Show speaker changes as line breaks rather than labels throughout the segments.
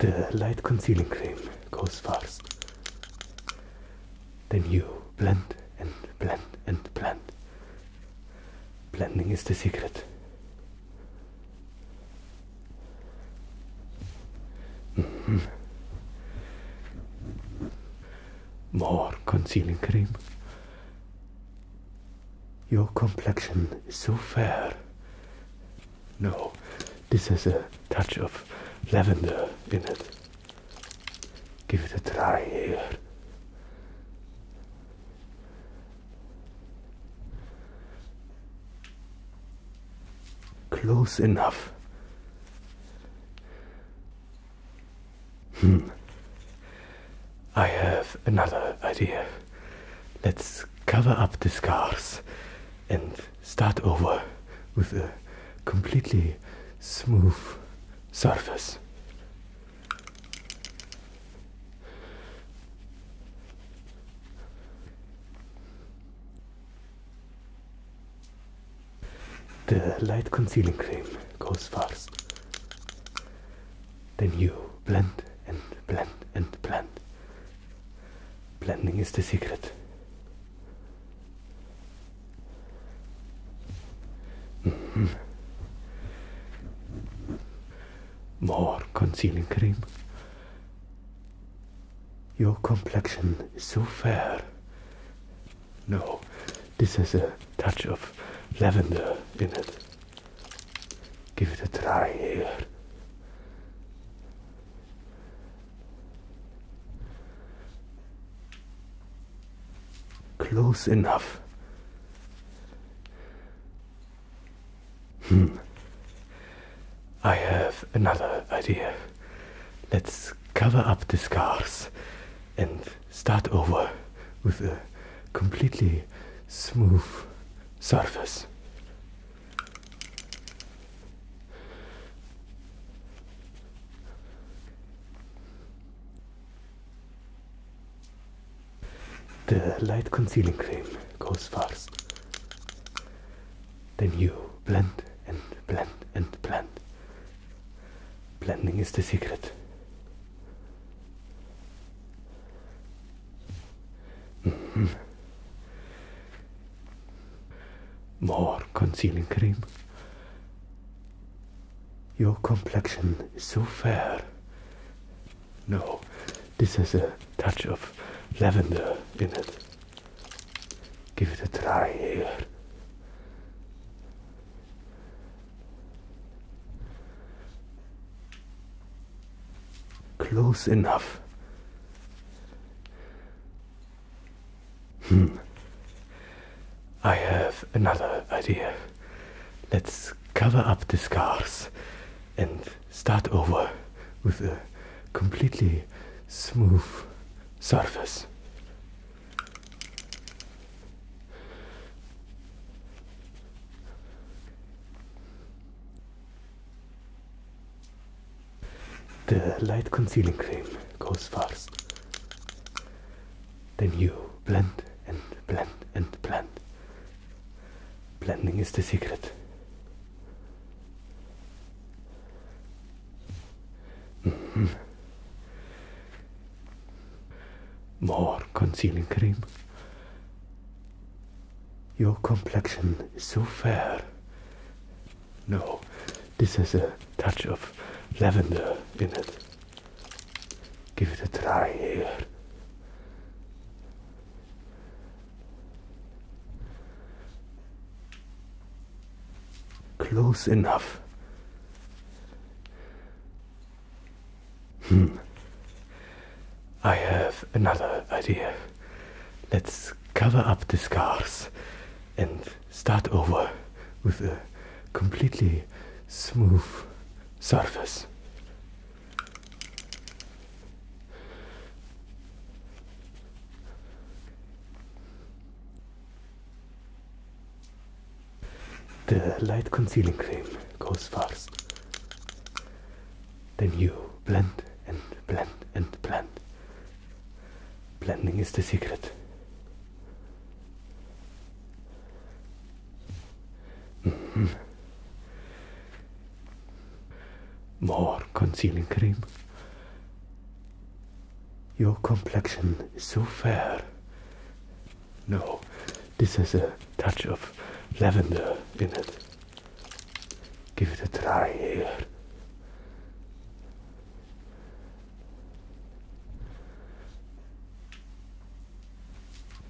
The light concealing cream goes first. Then you blend and blend and blend. Blending is the secret. Mm-hmm. More concealing cream. Your complexion is so fair. No, this has a touch of
lavender in it. Give it a try here.
Close enough. Hmm. I have another idea. Let's cover up the scars and start over with a completely smooth surface. The light concealing cream goes first. Then you blend and blend and blend. Blending is the secret. Mm-hmm. More concealing cream. Your complexion
is so fair.
No, this has a touch of
lavender in it. Give it a try here.
Close enough. Hmm. I have another idea. Let's cover up the scars and start over with a completely smooth surface. The light concealing cream goes first. Then you blend and blend and blend Blending is the secret. Mm-hmm. More concealing cream. Your complexion is
so fair.
No, this has a touch of
lavender in it. Give it a try here.
Close enough. Hmm. I have another idea. Let's cover up the scars and start over with a completely smooth surface. The light concealing cream goes first. Then you blend and blend and blend. Blending is the secret. Mm-hmm. More concealing cream. Your complexion is so fair. No, this has a touch of lavender in it. Give it a try here. Close enough. Hmm. I have another idea. Let's cover up the scars and start over
with a completely smooth surface.
The light concealing cream goes first. Then you blend and blend and blend. Blending is the secret. Mm-hmm. More concealing cream. Your complexion is so fair. No, this has a touch of lavender
in it. Give it a try here.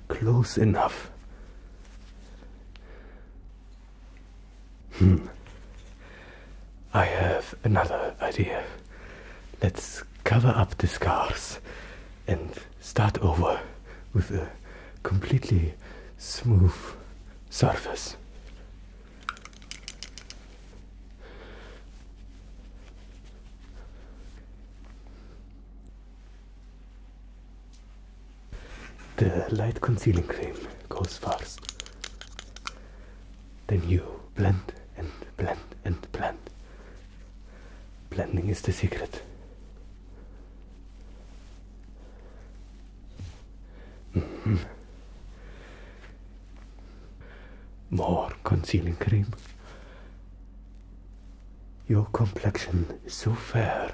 Close enough. Hmm. I have another idea. Let's cover up the scars and start over
with a completely smooth surface.
The light concealing cream goes first. Then you blend and blend and blend Blending is the secret. Mm-hmm. More concealing cream. Your complexion is so fair.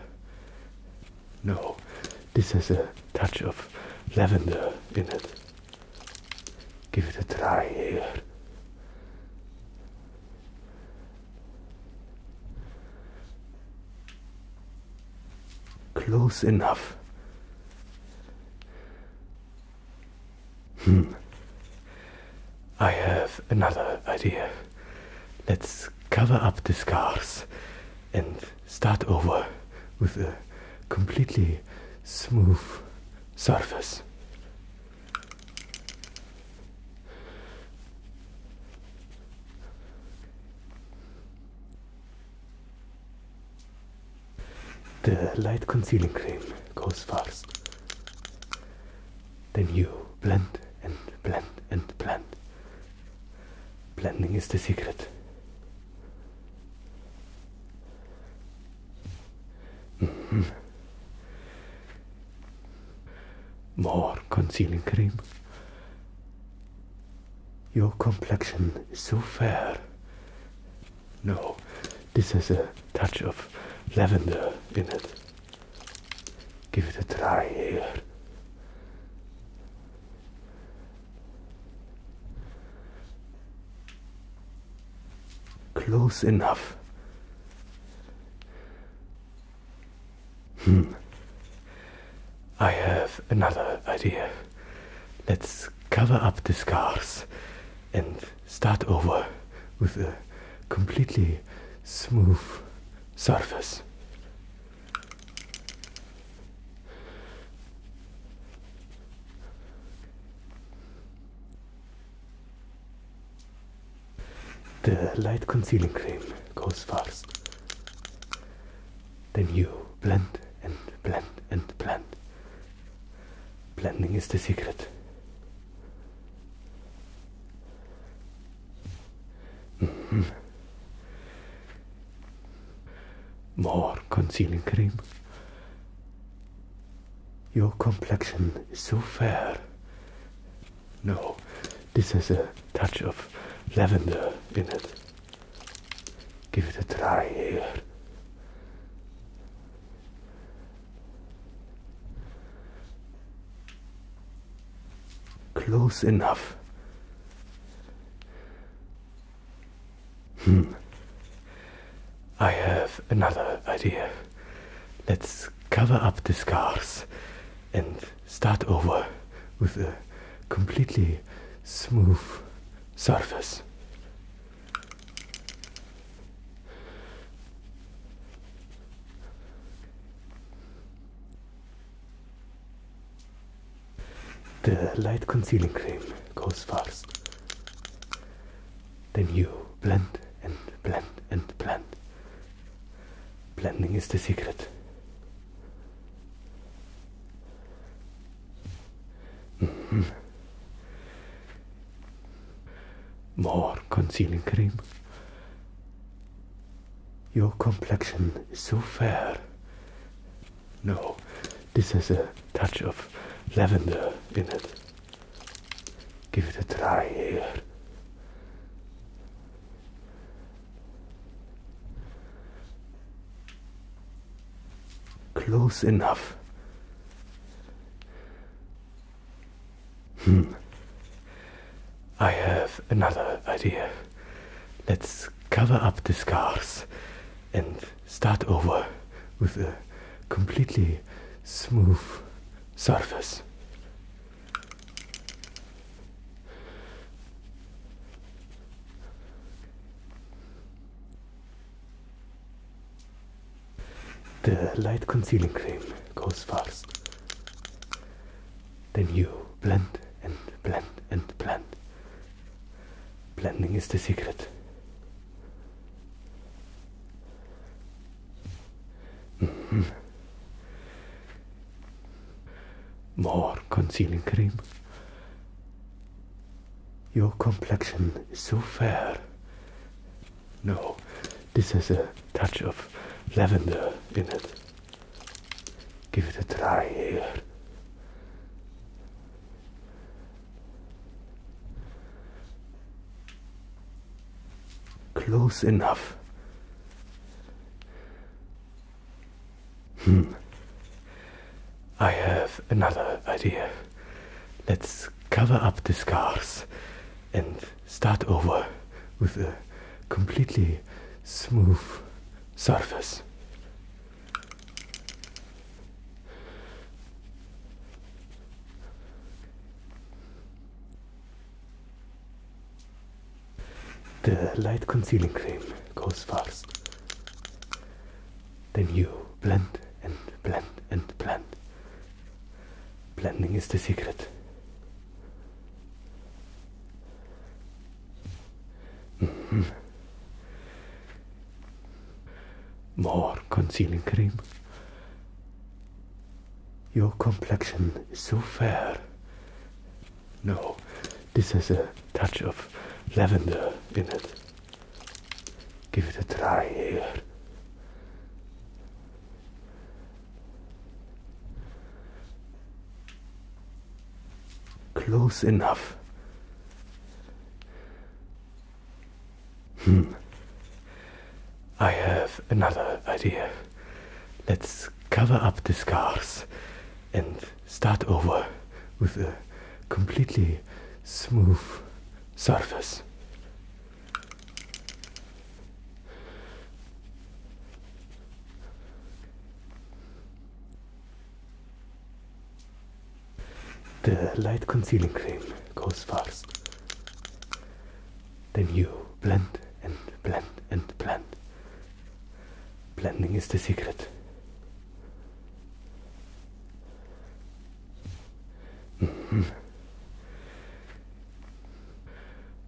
No, this has a touch of lavender in it. Give it a try here. Close enough. Hmm. I have another idea. Let's cover up the scars and start over
with a completely smooth surface.
The light concealing cream goes first. Then you blend and blend and blend. Blending is the secret. Mm-hmm. More concealing cream. Your complexion is so fair. No, this has a touch of lavender in it.
Give it a try here.
Close enough. Hmm. I have another idea. Let's cover up the scars and start over
with a completely smooth surface.
The light concealing cream goes first. Then you blend and blend and blend. Blending is the secret. Mm-hmm. More concealing cream. Your complexion is so fair. No, this has a touch of lavender in it. Give it a try here. Close enough. Hmm. I have another idea. Let's cover up the scars and start over with a
completely smooth surface.
The light concealing cream goes first. Then you blend and blend and blend. Blending is the secret. Mm-hmm. More concealing cream. Your complexion is so fair. No, this has a touch of lavender in it.
Give it a try here.
Close enough. Hmm. I have another idea. Let's cover up the scars and start over with a
completely smooth surface.
The light concealing cream goes first. Then you blend and blend and blend. Blending is the secret. More concealing cream. Your complexion is so fair. No, this has a touch of lavender in it. Give it a try here. Close enough. Hmm. I have another idea. Let's cover up the scars and start over with a
completely smooth surface.
The light concealing cream goes first. Then you blend and blend and blend. Blending is the secret. Mm-hmm. More concealing cream. Your complexion is so fair. No, this has a touch of lavender in it.
Give it a try here.
Close enough. Hmm. I have another idea. Let's cover up the scars and start over with a
completely smooth surface.
The light concealing cream goes first. Then you blend and blend and blend. Blending is the secret. Mm-hmm.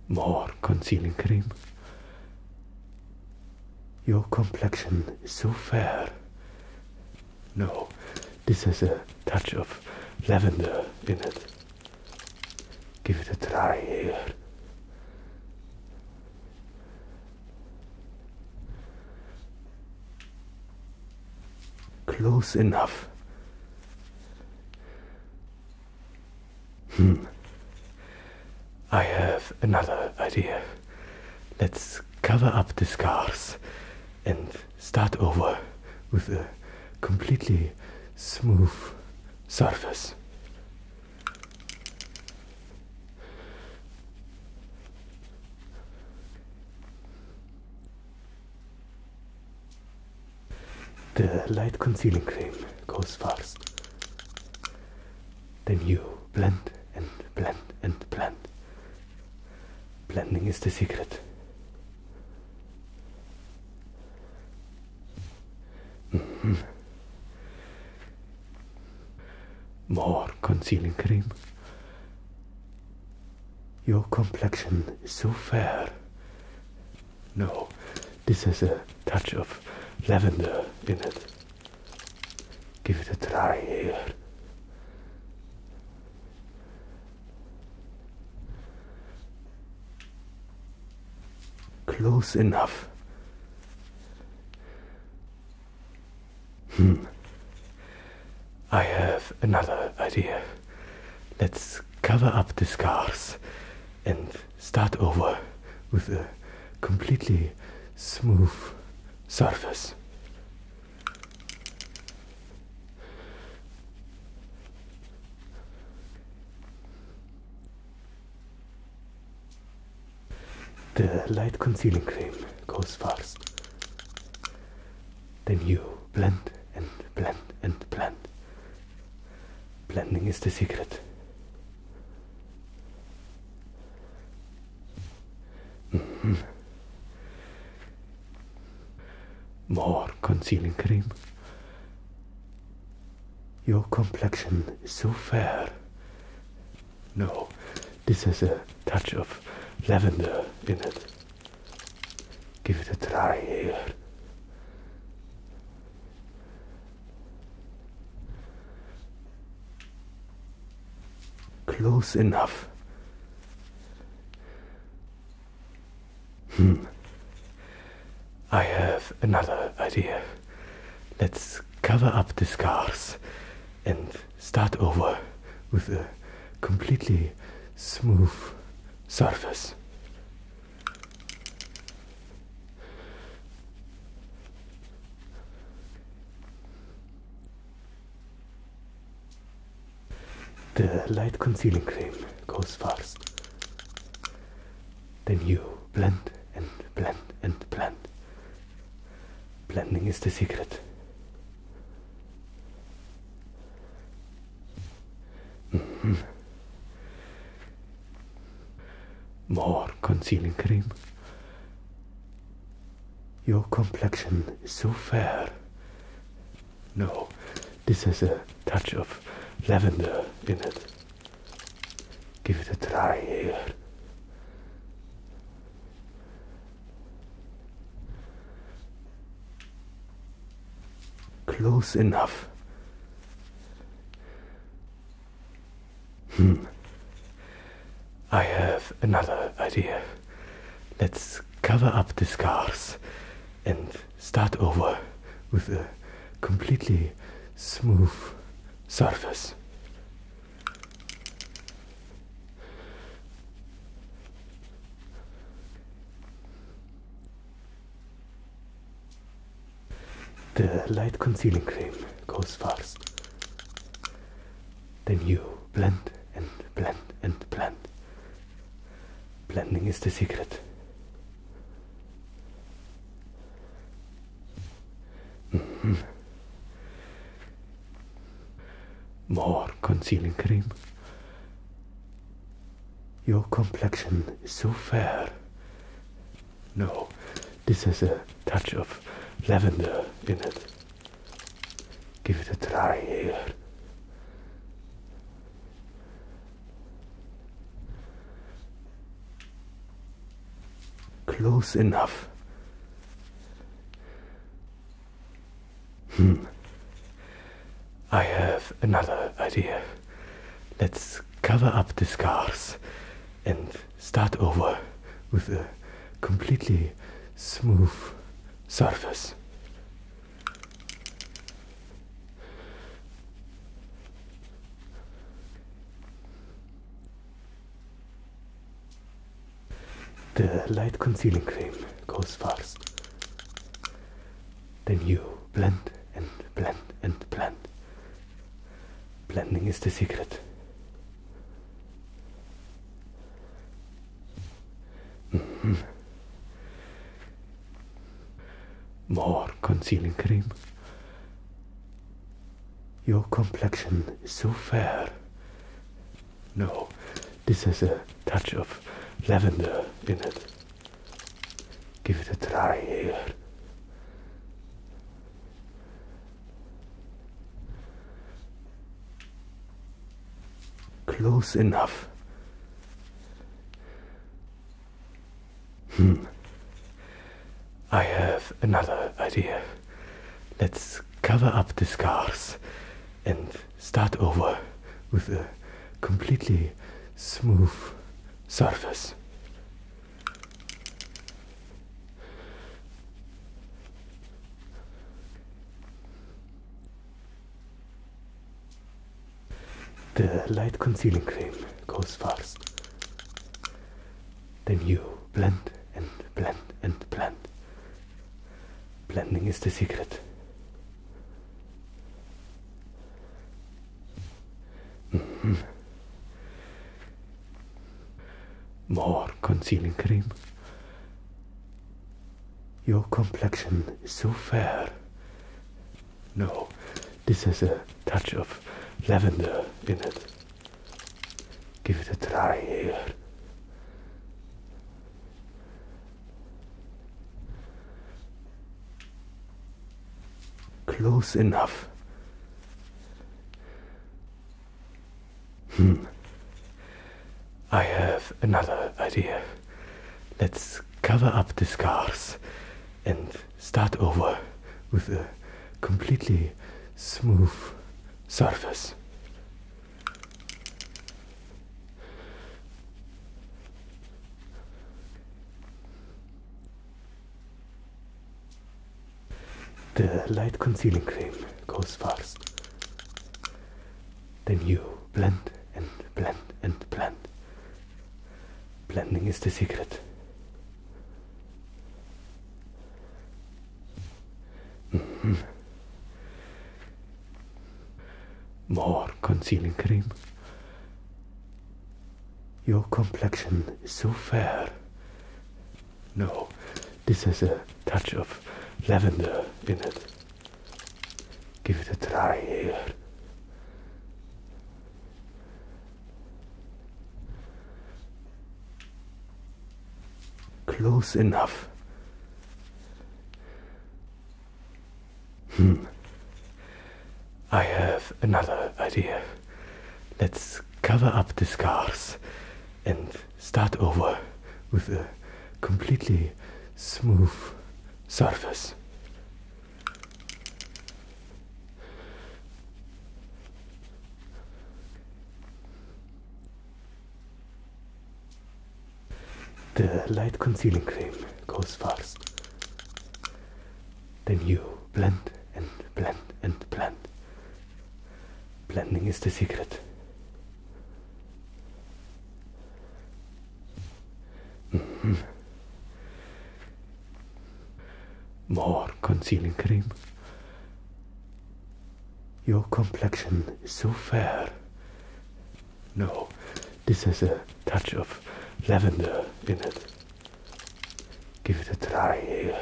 More concealing cream. Your complexion is so fair. No, this has a touch of lavender in it. Give it a try here. Close enough. Hmm. I have another idea. Let's cover up the scars and start over with a
completely smooth surface.
The light concealing cream goes first. Then you blend and blend and blend. Blending is the secret. More concealing cream. Your complexion is so fair. No, this has a touch of lavender in it.
Give it a try here.
Close enough. Hmm. I have another idea. Let's cover up the scars and start over with a completely
smooth surface.
The light concealing cream goes first. Then you blend and blend and blend. Blending is the secret. Mm-hmm. More concealing cream. Your complexion is so fair. No, this has a touch of lavender in it.
Give it a try here.
Close enough. Hmm. I have another idea. Let's cover up the scars and start over with a completely
smooth surface.
The light concealing cream goes first. Then you blend and blend and blend. Blending is the secret. Mm-hmm. More concealing cream. Your complexion is so fair. No, this has a touch of lavender in it.
Give it a try here.
Close enough. Hmm. I have another idea. Let's cover up the scars and start over with a completely
smooth surface.
The light concealing cream goes first. Then you blend and blend and blend. Blending is the secret. Mm-hmm. More concealing cream. Your complexion is so fair. No, this has a touch of lavender in it.
Give it a try here.
Close enough. Hmm. I have another idea. Let's cover up the scars and start over with a completely
smooth surface.
The light concealing cream goes first. Then you blend and blend and blend. Blending is the secret. Mm-hmm. More concealing cream. Your complexion is so fair. No, this has a touch of lavender in it. Give
it a try here.
Close enough. Hmm. I have another idea. Let's cover up the scars and start over with a completely
smooth surface.
The light concealing cream goes first. Then you blend and blend and blend. Blending is the secret. Mm-hmm. More concealing cream. Your complexion is so fair. No, this has a touch of lavender in it. Give it a
try here.
Close enough. Hmm. I have another idea. Let's cover up the scars and start over with a completely
smooth surface.
The light concealing cream goes first. Then you blend and blend and blend Blending is the secret. Mm-hmm. More concealing cream. Your complexion is so fair. No, this has a touch of lavender in it. Give it a
try here.
Close enough. Hmm. I have another idea. Let's cover up the scars and start over with a completely smooth
surface.
The light concealing cream goes first. Then you blend and blend and blend. Blending is the secret. Mm-hmm. More concealing cream. Your complexion is so fair. No, this has a touch of lavender in it. Give it a try here.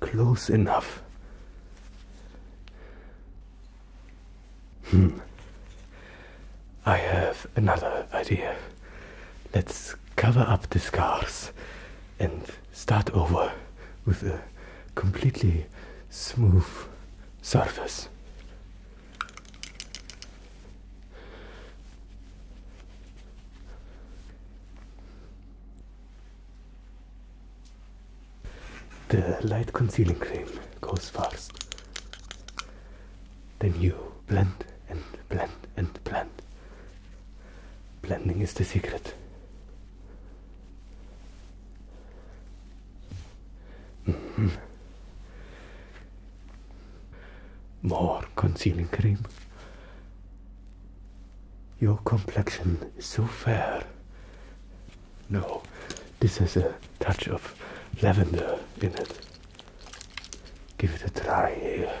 Close enough. Hmm. I have another idea. Let's cover up the scars and start over with a completely smooth
surface.
The light concealing cream goes first. Then you blend and blend and blend. Blending is the secret. Mm-hmm. More concealing cream. Your complexion is so fair. No, this has a touch of lavender in it. Give it a try here.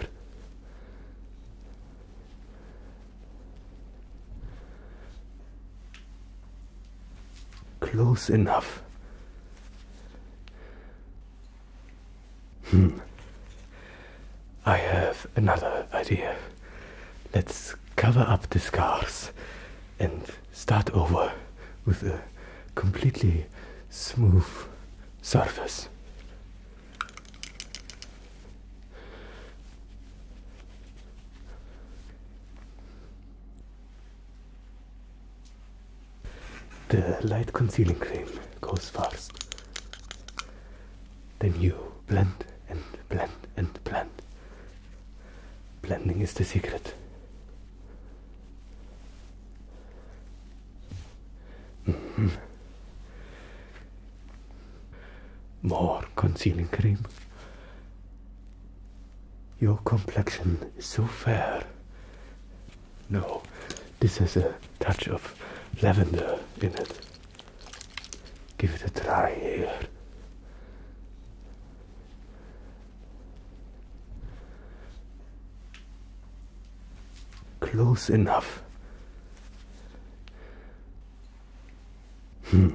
Close enough. Hmm. I have another idea. Let's cover up the scars and start over with a completely smooth
surface.
The light concealing cream goes first. Then you blend and blend and blend Blending is the secret. Mm-hmm. More concealing cream. Your complexion is so fair. No, this has a touch of lavender in it. Give it a try here. Close enough. Hmm.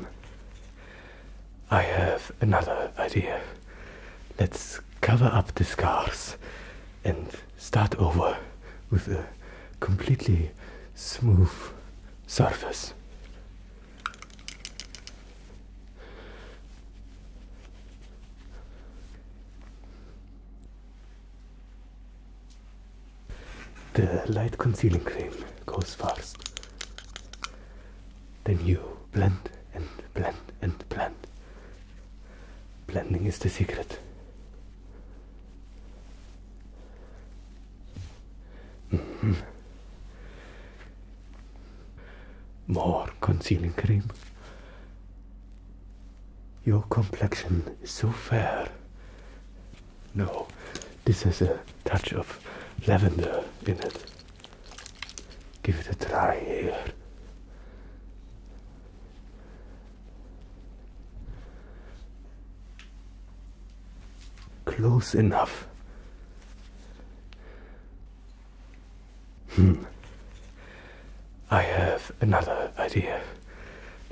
I have another idea. Let's cover up the scars and start over with a completely smooth
surface.
The light concealing cream goes first. Then you blend and blend and blend. Blending is the secret. More concealing cream. Your complexion is so fair. No, this has a touch of lavender in it. Give it a try here. Close enough. Hmm. I have another idea.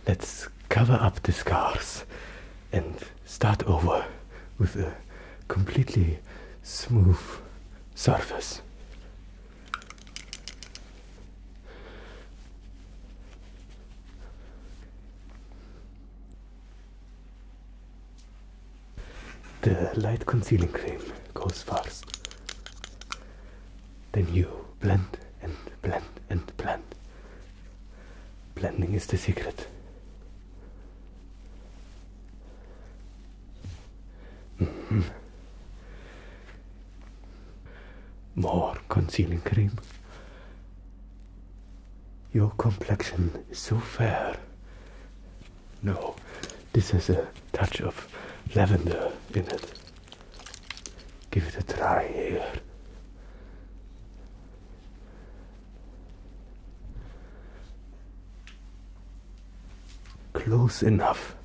Let's cover up the scars and start over with a completely smooth
surface.
The light concealing cream goes first. Then you blend and blend and blend. Blending is the secret. Mm-hmm. More concealing cream. Your complexion is so fair. No, this has a touch of lavender in it. Give it a try here. Close enough.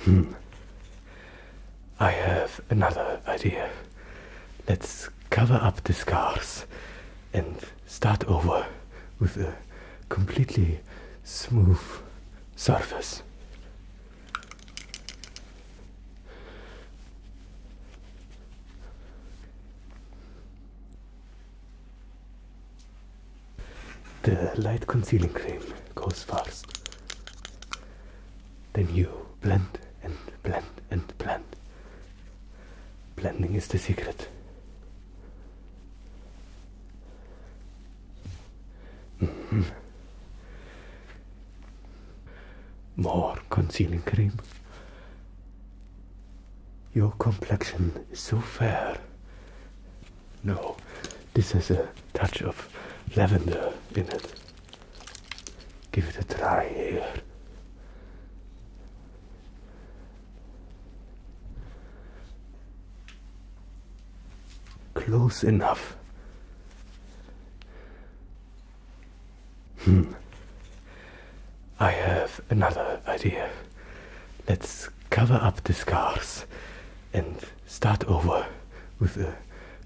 Hmm, I have another idea. Let's cover up the scars and start over with a completely smooth
surface.
The light concealing cream goes first. Then you blend and blend and blend. Blending is the secret. Mm-hmm. More concealing cream. Your complexion is so fair. No, this has a touch of
lavender in it. Give it a try here.
Close enough. Hmm. I have another idea. Let's cover up the scars and start over with a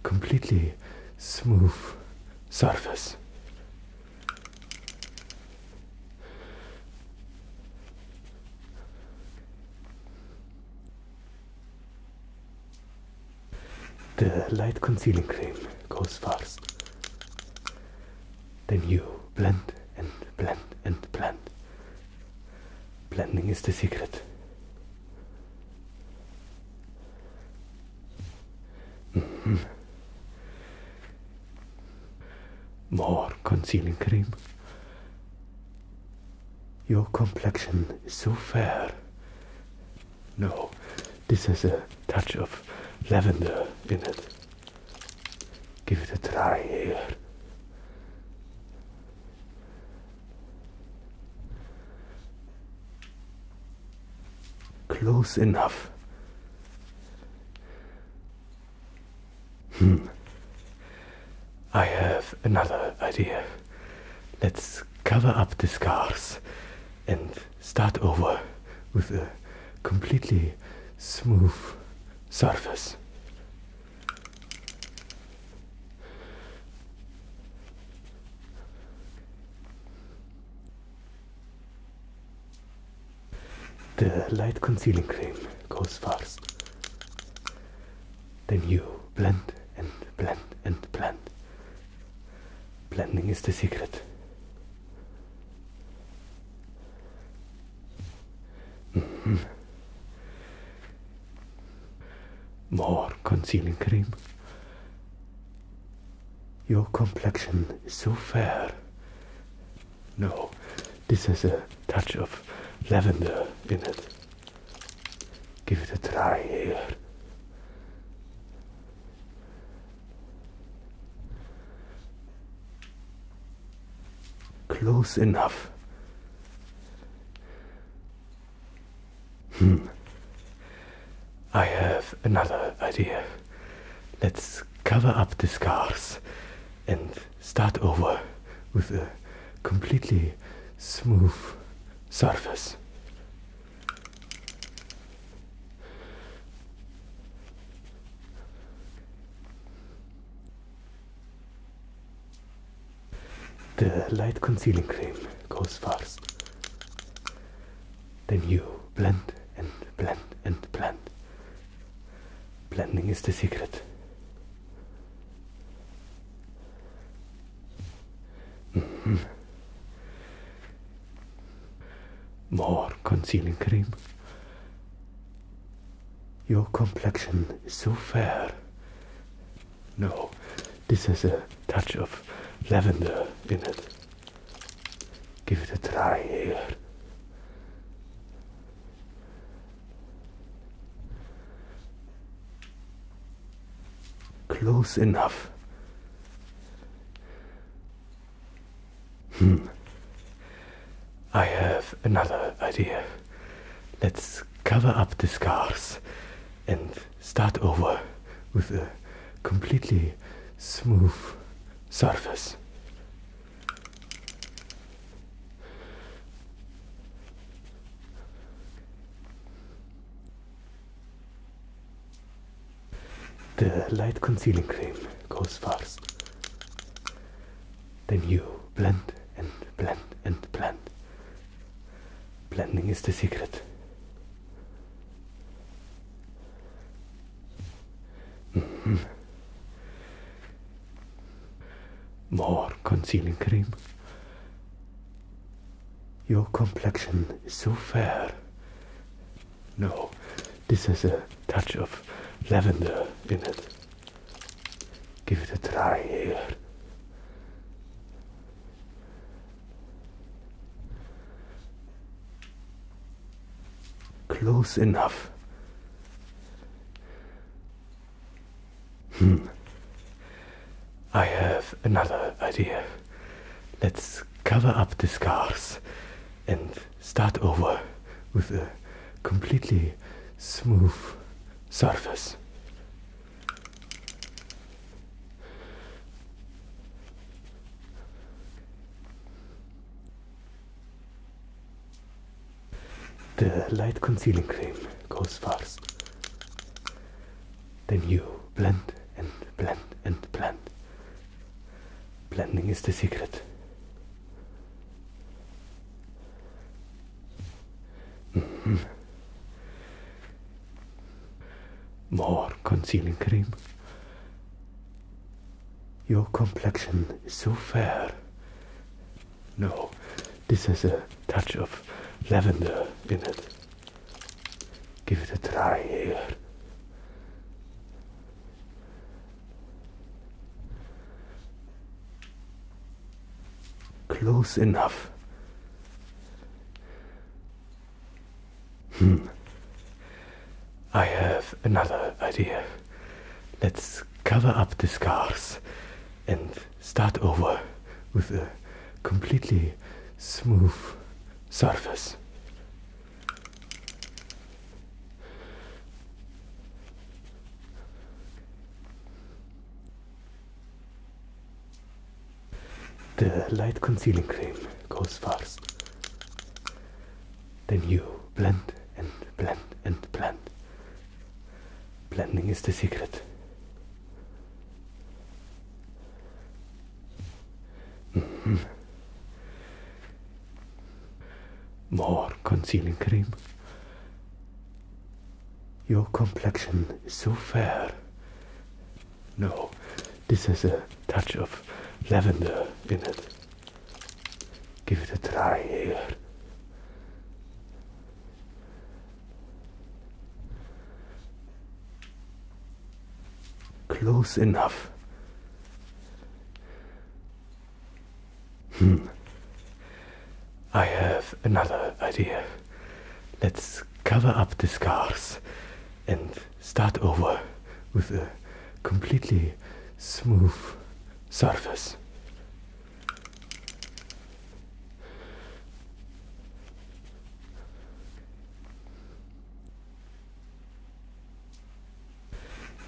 completely smooth
surface.
The light concealing cream goes first. Then you blend and blend and blend. Blending is the secret. Mm-hmm. More concealing cream. Your complexion is so fair. No, this has a touch of
lavender in it. Give it a try here.
Close enough. Hmm. I have another idea. Let's cover up the scars and start over with a completely smooth surface. The light concealing cream goes first. Then you blend and blend and blend. Blending is the secret. Mm-hmm. More concealing cream. Your complexion is so fair. No, this has a touch of
lavender in it. Give it a try here.
Close enough. Hmm. I have another idea. Let's cover up the scars and start over with a completely smooth surface. The light concealing cream goes first. Then you blend and blend and blend. Blending is the secret. Mm-hmm. More concealing cream. Your complexion is so fair. No, this has a touch of
lavender in it. Give it a try here.
Close enough. Hmm. I have another idea. Let's cover up the scars and start over
with a completely smooth surface.
The light concealing cream goes first. Then you blend and blend and blend. Blending is the secret. Mm-hmm. More concealing cream. Your complexion is so fair. No, this has a touch of lavender
in it. Give it a try here.
Close enough. Hmm. I have another idea. Let's cover up the scars and start over
with a completely smooth surface.
The light concealing cream goes first. Then you blend and blend and blend. Blending is the secret. Mm-hmm. More concealing cream. Your complexion is so fair. No, this has a touch of lavender in it. Give it a try here. Close enough. Hmm. I have another idea. Let's cover up the scars and start over with a completely smooth surface. The light concealing cream goes first. Then you blend and blend and blend. Blending is the secret. Mm-hmm. More concealing cream. Your complexion is so fair. No, this has a touch of lavender in it. Give it a try here. Close enough. Hmm. I have another idea. Let's cover up the scars and start over
with a completely smooth surface.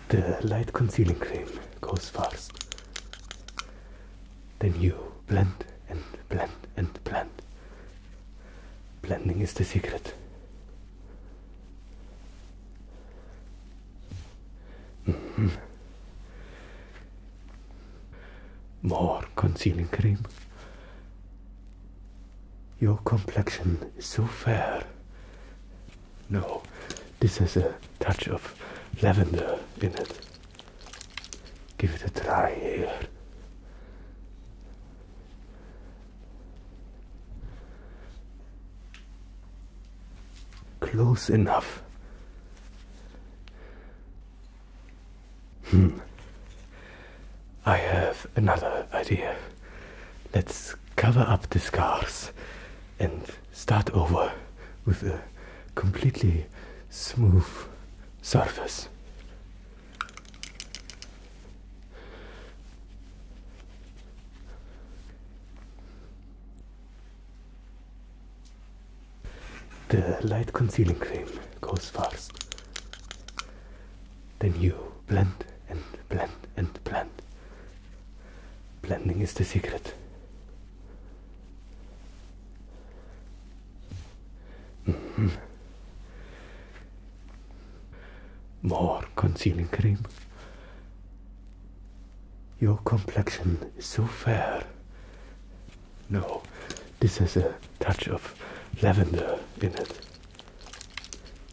The light concealing cream goes first. Then you blend and blend and blend Blending is the secret. Mm-hmm. More concealing cream. Your complexion is so fair. No, this has a touch of lavender in it.
Give it a try here.
Close enough. Hmm. I have another idea. Let's cover up the scars and start over
with a completely smooth surface.
The light concealing cream goes first. Then you blend and blend and blend. Blending is the secret. Mm-hmm. More concealing cream. Your complexion is so fair. No, this has a touch of lavender in it.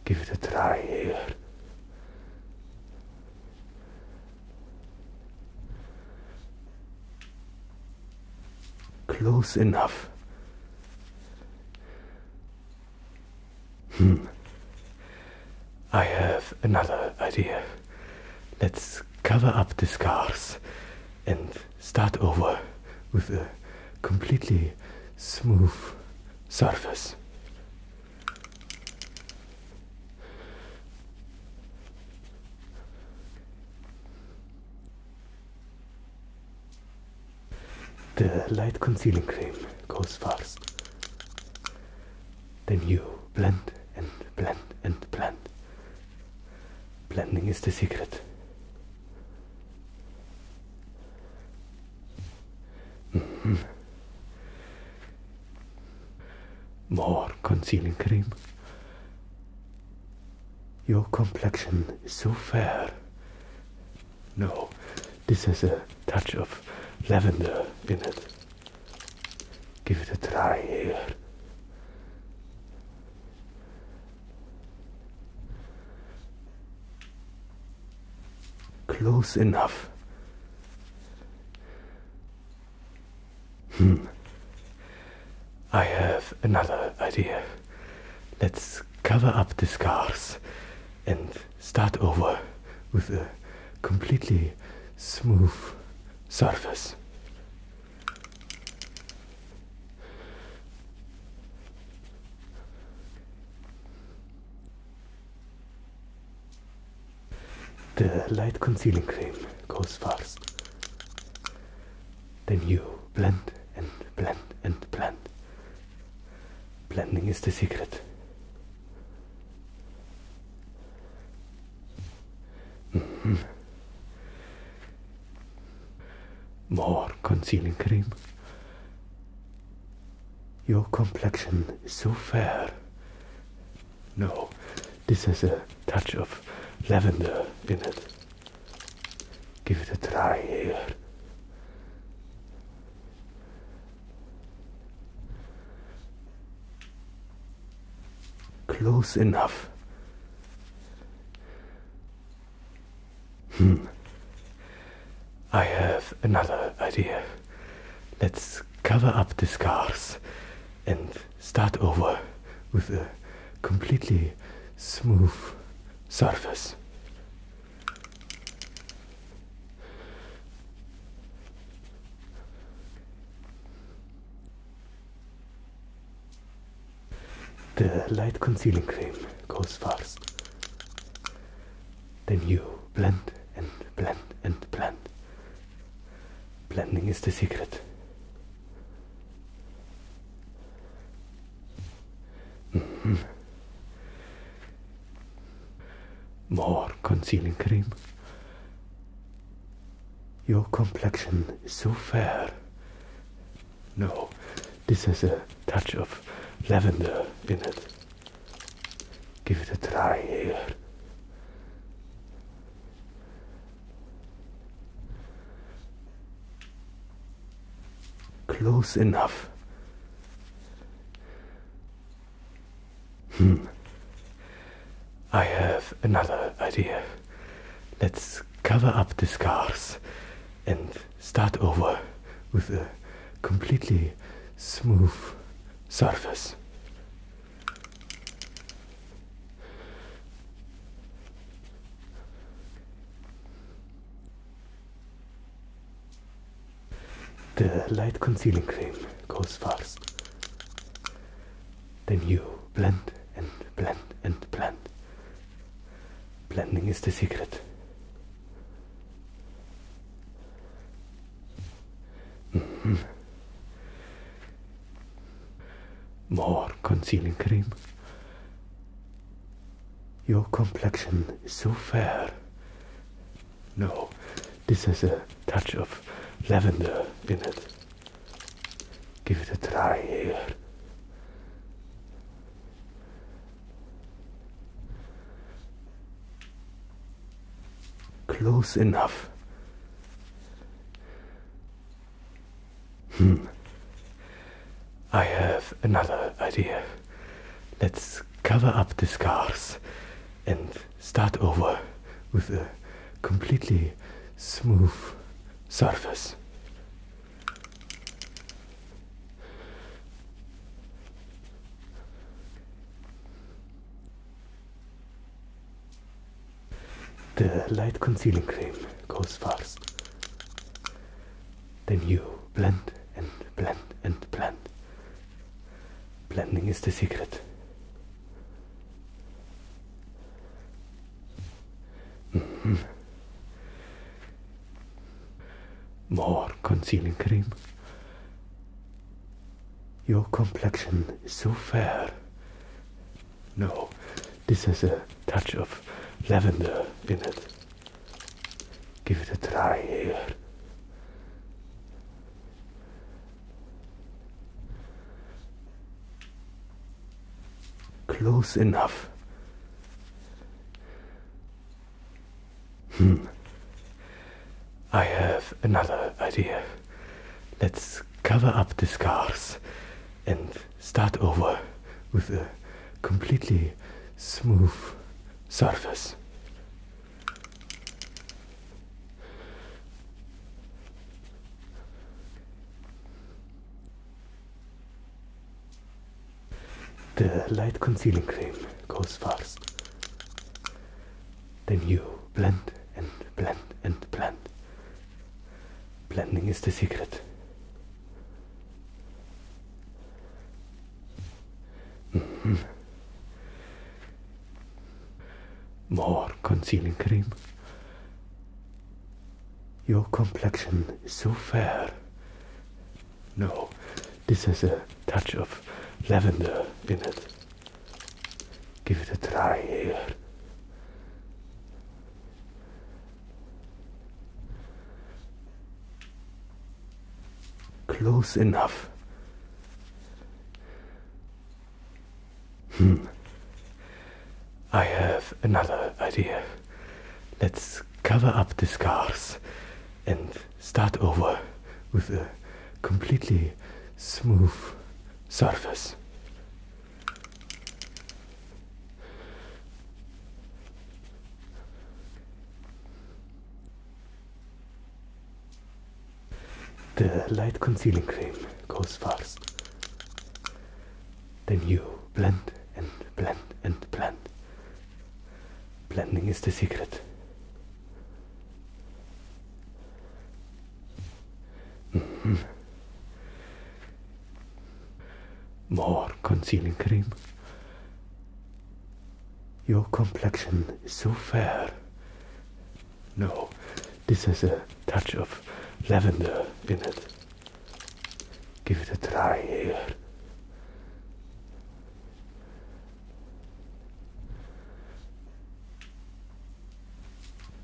Give it a try here. Close enough. Hmm. I have another idea. Let's cover up the scars and start over with a
completely smooth surface.
The light concealing cream goes first. Then you blend and blend and blend. Blending is the secret. Mm-hmm. More concealing cream. Your complexion is so fair. No, this has a touch of lavender in it.
Give it a try here.
Close enough. Hmm. I have another idea. Let's cover up the scars and start over with a
completely smooth surface.
The light concealing cream goes first. Then you blend and blend and blend Blending is the secret. Mm-hmm. More concealing cream. Your complexion is so fair. No, this has a touch of lavender in it. Give it a try here. Close enough. Hmm. I have another idea. Let's cover up the scars and start over with a
completely smooth surface.
The light concealing cream goes first. Then you blend and blend and blend. Blending is the secret. Mm-hmm. More concealing cream. Your complexion is so fair. No, this has a touch of lavender in it. Give it a try here. Close enough. Hmm. I have another idea. Let's cover up the scars and start over with a
completely smooth surface.
The light concealing cream goes first. Then you blend and blend and blend. Blending is the secret. Mm-hmm. More concealing cream. Your complexion is so fair. No, this has a touch of lavender in it. Give it a try here. Close enough. Hmm, I have another idea. Let's cover up the scars and start over with a
completely smooth surface.
The light concealing cream goes first. Then you blend and blend and blend. Blending is the secret. Mm-hmm. More concealing cream. Your complexion is so fair. No, this has a touch of lavender in it.
Give it a try here.
Close enough. Hmm. I have another idea. Let's cover up the scars and start over with a completely
smooth surface.
The light concealing cream goes first. Then you blend and blend and blend. Blending is the secret. Mm-hmm. More concealing cream. Your complexion is so fair. No, this has a touch of lavender in it.
Give it a try here.
Close enough. Hmm. I have another idea. Let's cover up the scars and start over with a completely
smooth surface.
The light concealing cream goes first. Then you blend and blend and blend. Blending is the secret. Mm-hmm. More concealing cream. Your complexion is so fair. No, this has a touch of lavender in it.
Give it a try here.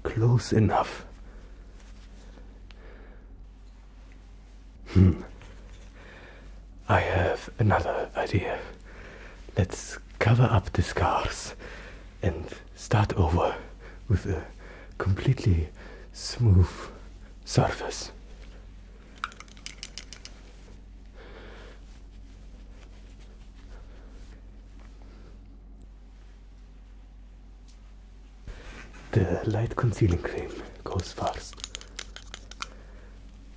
Close enough. Hmm. I have another idea. Let's cover up the scars and start over with a completely
smooth surface.
The light concealing cream goes first.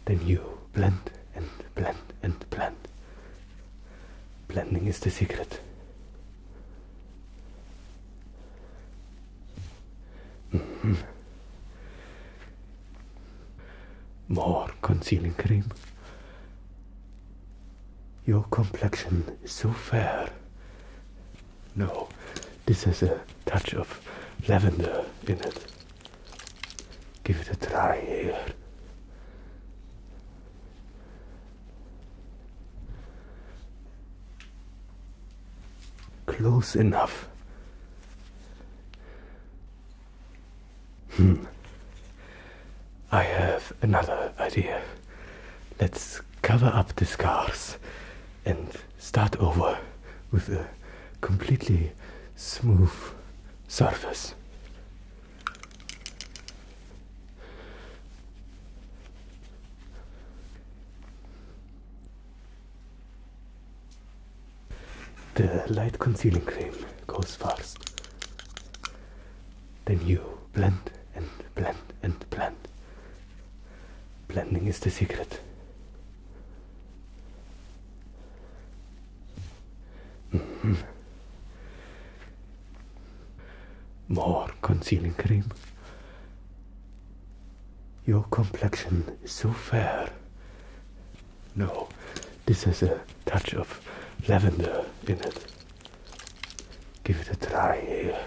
Then you blend and blend and blend. Blending is the secret. Mm-hmm. More concealing cream. Your complexion is so fair. No, this has a touch of lavender in it.
Give it a try here.
Close enough. Hmm. I have another idea. Let's cover up the scars and start over with a completely
smooth surface.
The light concealing cream goes first. Then you blend and blend and blend. Blending is the secret. Mm-hmm. More concealing cream. Your complexion is so fair. No, this has a touch of lavender in it. Give
it a try here.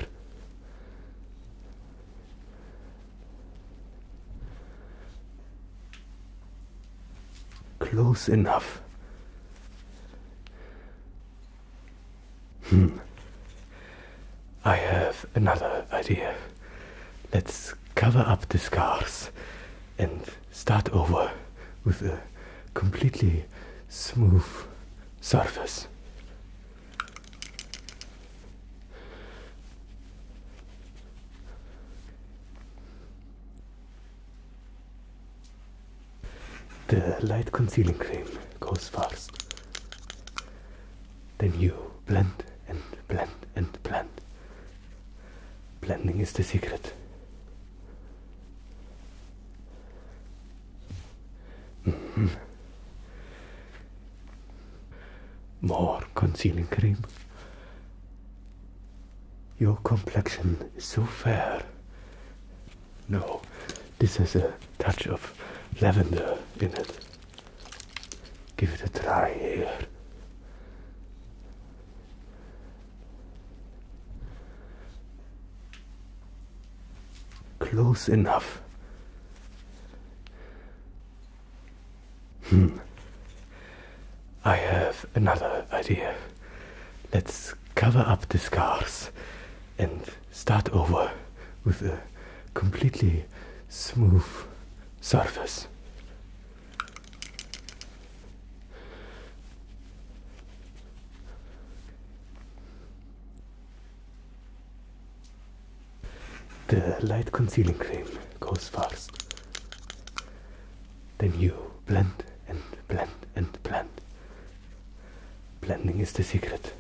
Close enough. Hmm. I have another idea. Let's cover up the scars and start over with a completely
smooth surface.
The light concealing cream goes first. Then you blend and blend and blend. Blending is the secret. Mm-hmm. More concealing cream. Your complexion is so fair. No, this has a touch of lavender in it. Give it a
try here.
Close enough. Hmm. I have another idea. Let's cover up the scars and start over with a completely
smooth surface.
The light concealing cream goes first. Then you blend and blend and blend. Blending is the secret.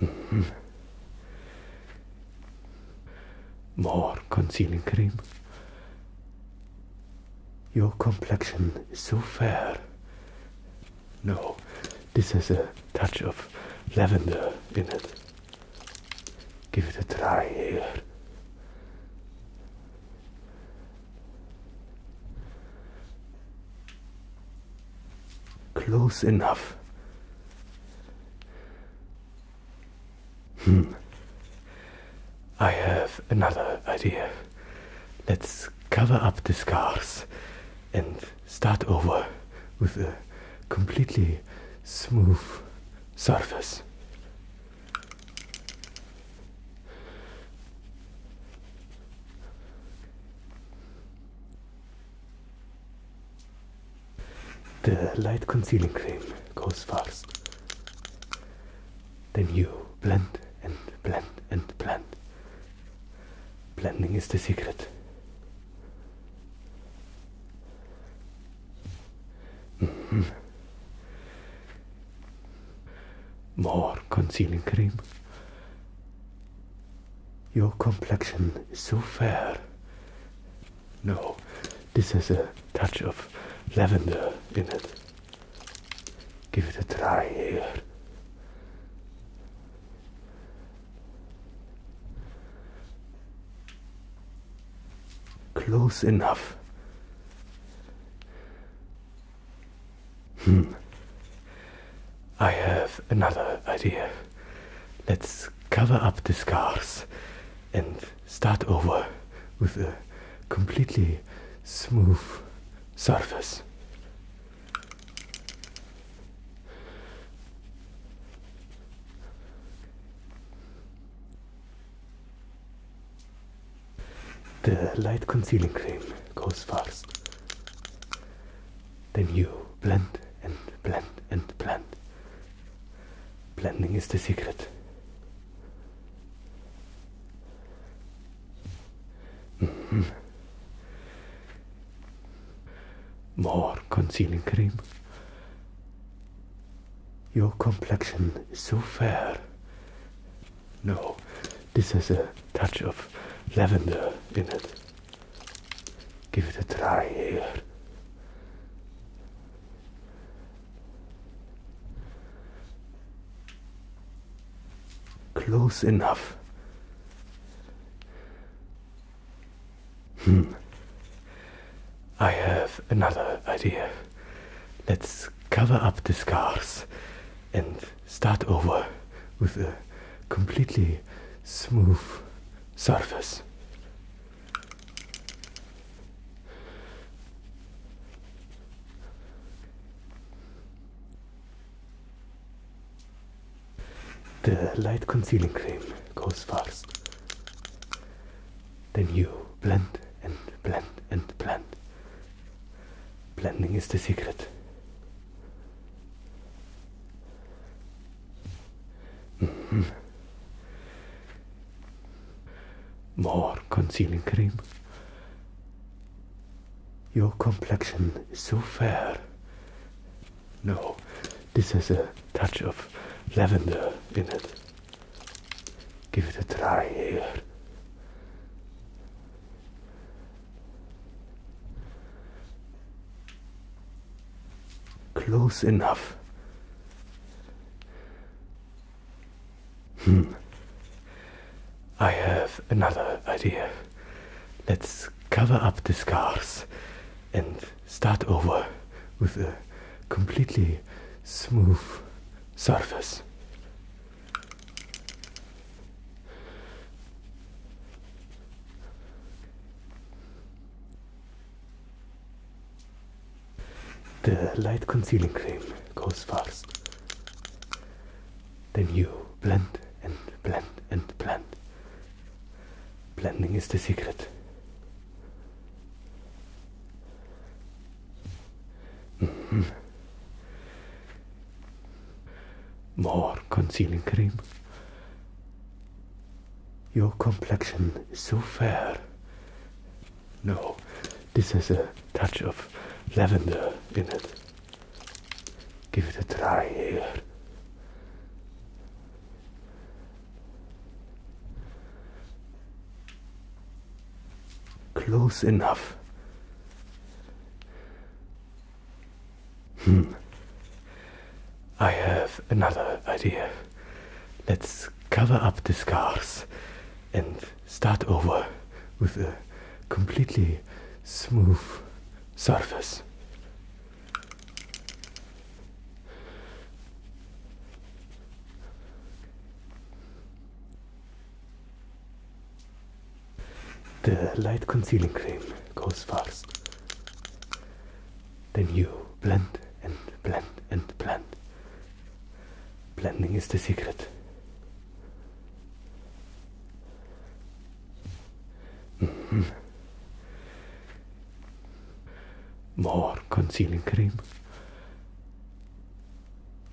Mm-hmm. More concealing cream. Your complexion is so fair. No, this has a touch of lavender in it. Give it a
try here.
Close enough. Hmm. I have another idea. Let's cover up the scars and start over with a completely smooth
surface.
The light concealing cream goes first. Then you blend and blend and blend Blending is the secret. Mm-hmm. More concealing cream. Your complexion is so fair. No, this has a touch of lavender in it. Give it a try here. Close enough. Hmm. I have another idea. Let's cover up the scars and start over with a completely smooth
surface.
The light concealing cream goes first. Then you blend and blend and blend. Blending is the secret. Mm-hmm. More concealing cream. Your complexion is so fair. No, this has a touch of lavender in it. Give it a try here. Close enough. Hmm. I have another idea. Let's cover up the scars and start over with a completely smooth
surface.
The light concealing cream goes first. Then you blend and blend and blend. Blending is the secret. Mm-hmm. More concealing cream. Your complexion is so fair. No, this has a touch of lavender in it. Give it a try here. Close enough. Hmm. I have another idea. Let's cover up the scars and start over with a completely smooth
surface.
The light concealing cream goes first. Then you blend and blend and blend Blending is the secret. Mm-hmm. More concealing cream. Your complexion is so fair. No, this has a touch of lavender in it. Give it a try here. Close enough. Hmm. I have another idea. Let's cover up the scars and start over with a completely smooth
surface.
The light concealing cream goes first. Then you blend and blend and blend. Blending is the secret. Mm-hmm. More concealing cream.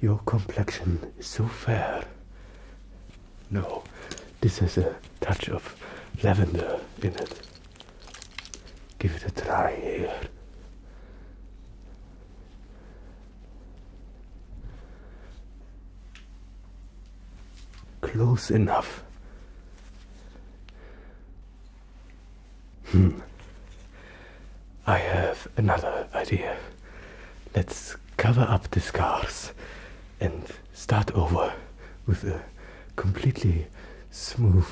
Your complexion is so fair. No, this has a touch of lavender in it. Give it a try here. Close enough. Hmm. I have another idea. Let's cover up the scars and start over with a completely smooth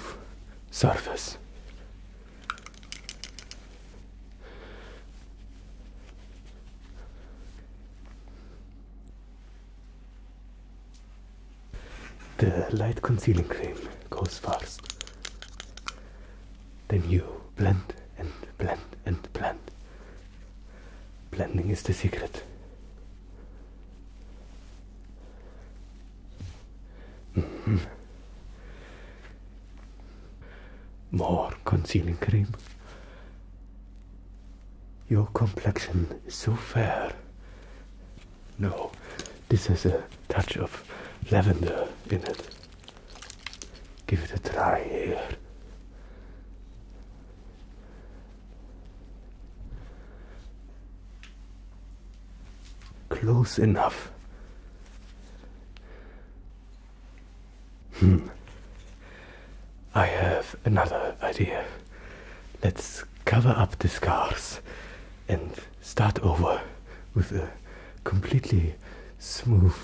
surface.
The light concealing cream goes first. Then you blend and blend and blend. Blending is the secret. Mm-hmm. More concealing cream. Your complexion is so fair. No, this has a touch of
lavender in it. Give it a try here.
Close enough. Hmm. I have another idea. Let's cover up the scars and start over with a completely smooth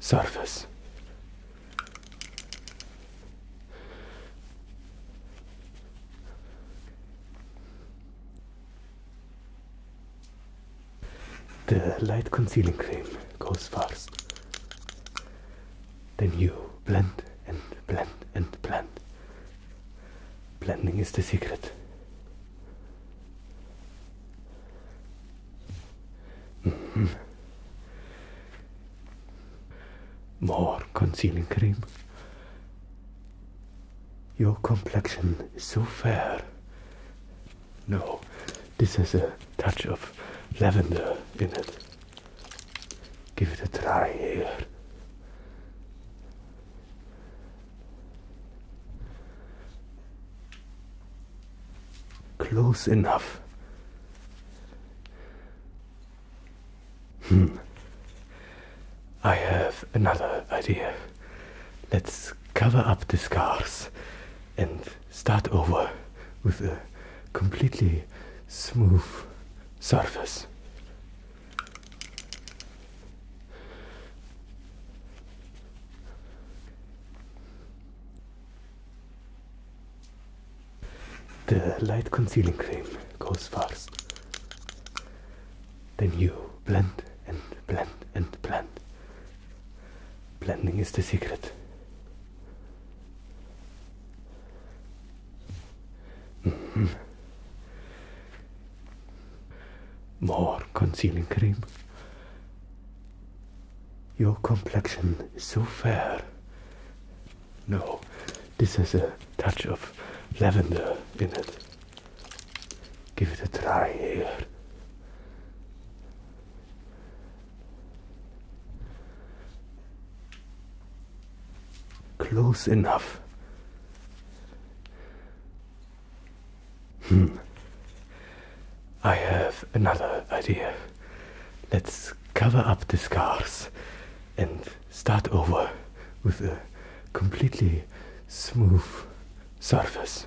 surface. The light concealing cream goes first. Then you blend and blend and blend. Blending is the secret. Mm-hmm. More concealing cream. Your complexion is so fair. No, this has a touch of
lavender in it. Give it a try here.
Close enough. Hmm. I have another idea. Let's cover up the scars and start over with a completely smooth surface. The light concealing cream goes first. Then you blend and blend and blend. Blending is the secret. More concealing cream. Your complexion is so
fair.
No, this has a touch of
lavender in it. Give it a try here.
Close enough. Hmm. I have another idea. Let's cover up the scars and start
over with a completely smooth surface.